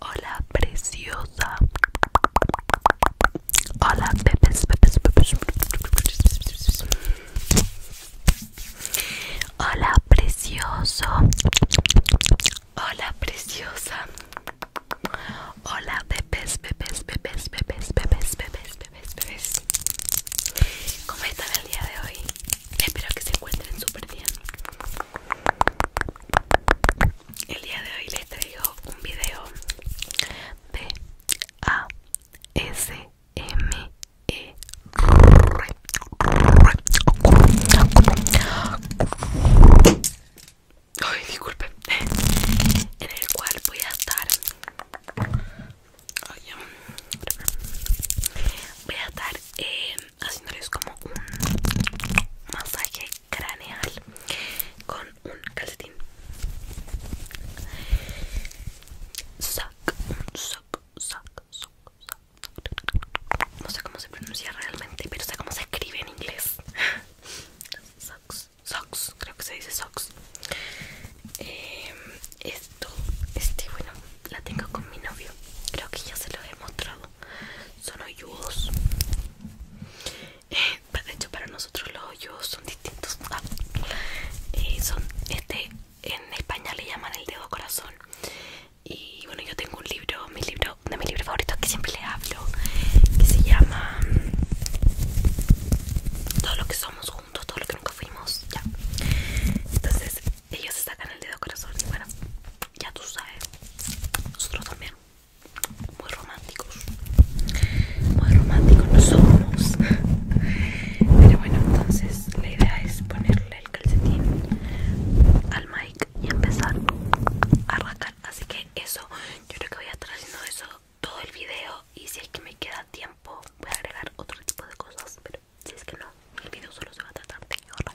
Hola, preciosa. Hola, bebés, bebés, bebés. Hola, precioso. Hola, preciosa. Hola, pepes bebés, bebés, bebés, bebés, bebés, bebés, ¿Cómo están el día de hoy? Espero que se encuentren super bien. El día de hoy les traigo un video de A S M E En el cual voy a estar Voy a estar eh, haciéndoles como un masaje craneal con un calcetín Sock, sock, sock, sock. no sé cómo se pronuncia realmente pero sé cómo se escribe en inglés socks, socks, creo que se dice socks em, esto, este bueno la tengo con mi novio creo que ya se lo he mostrado son hoyudos. Eh, de hecho, para nosotros los hoyudos son distintos. Ah, eh, son este en España le llaman el dedo corazón. Y bueno, yo tengo un libro, mi libro, de mis libros favoritos que siempre les hablo, que se llama mm, Todo lo que somos juntos, todo lo que nunca fuimos. Ya. Entonces, ellos sacan el dedo corazón y bueno, ya tú sabes, nosotros también, muy románticos, muy románticos no somos, pero bueno, entonces la idea es ponerle el calcetín al mic y empezar a rascar, así que eso, yo creo que voy a estar haciendo eso todo el video y si es que me queda tiempo voy a agregar otro tipo de cosas, pero si es que no, el video solo se va a tratar de yo de la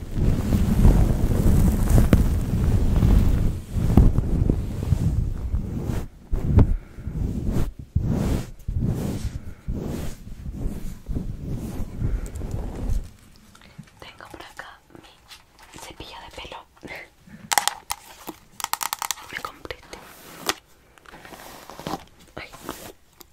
Tengo por acá mi cepillo de pelo. Me compré. Este.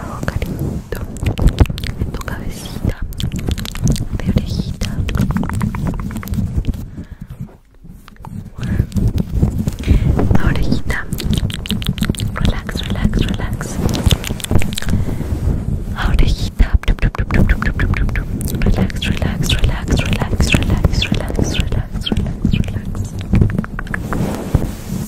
cabecita, orejita. orejita. Relax, relax, relax. orejita. Relax, relax, relax, relax, relax, relax, relax, relax, relax.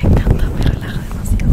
Me encanta, me relaja demasiado.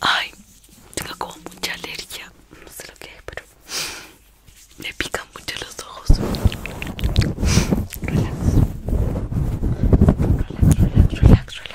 Ay, tengo como mucha alergia. No sé lo que es, pero me pican mucho los ojos. Relax. Relax, relax, relax, relax.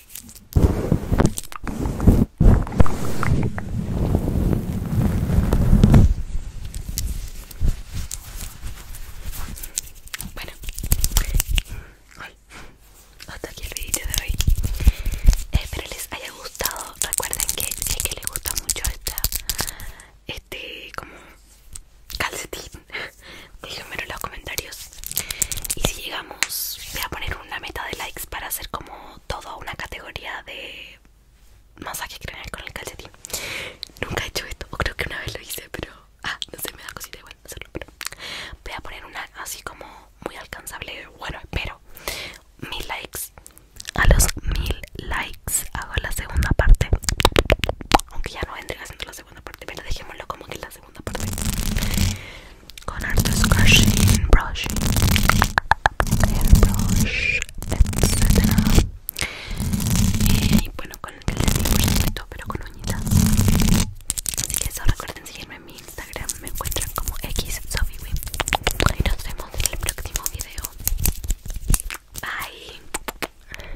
Bueno, Hoy hasta aquí el vídeo de hoy. Espero les haya gustado. Recuerden que es que les gusta mucho esta, este como calcetín Déjenmelo en los comentarios. Y si llegamos, voy a poner una meta de likes para hacer como toda una categoría de masaje craneal con el calcetín. Nunca he hecho esto, o creo que una vez lo hice, pero. Ah, no sé, me da cosita igual hacerlo, pero. Voy a poner una así como muy alcanzable. Bueno, espero. Mil likes. A los mil likes hago la segunda parte. Aunque ya no vendré haciendo la segunda segunda parte, pero dejémoslo como que es la segunda parte. Con harto scratching, brushing, airbrush, etc. Eh, y bueno, con el de todo, pero con uñitas. Así que eso, recuerden seguirme en mi Instagram, me encuentran como xsofiwi. Y nos vemos en el próximo video. Bye.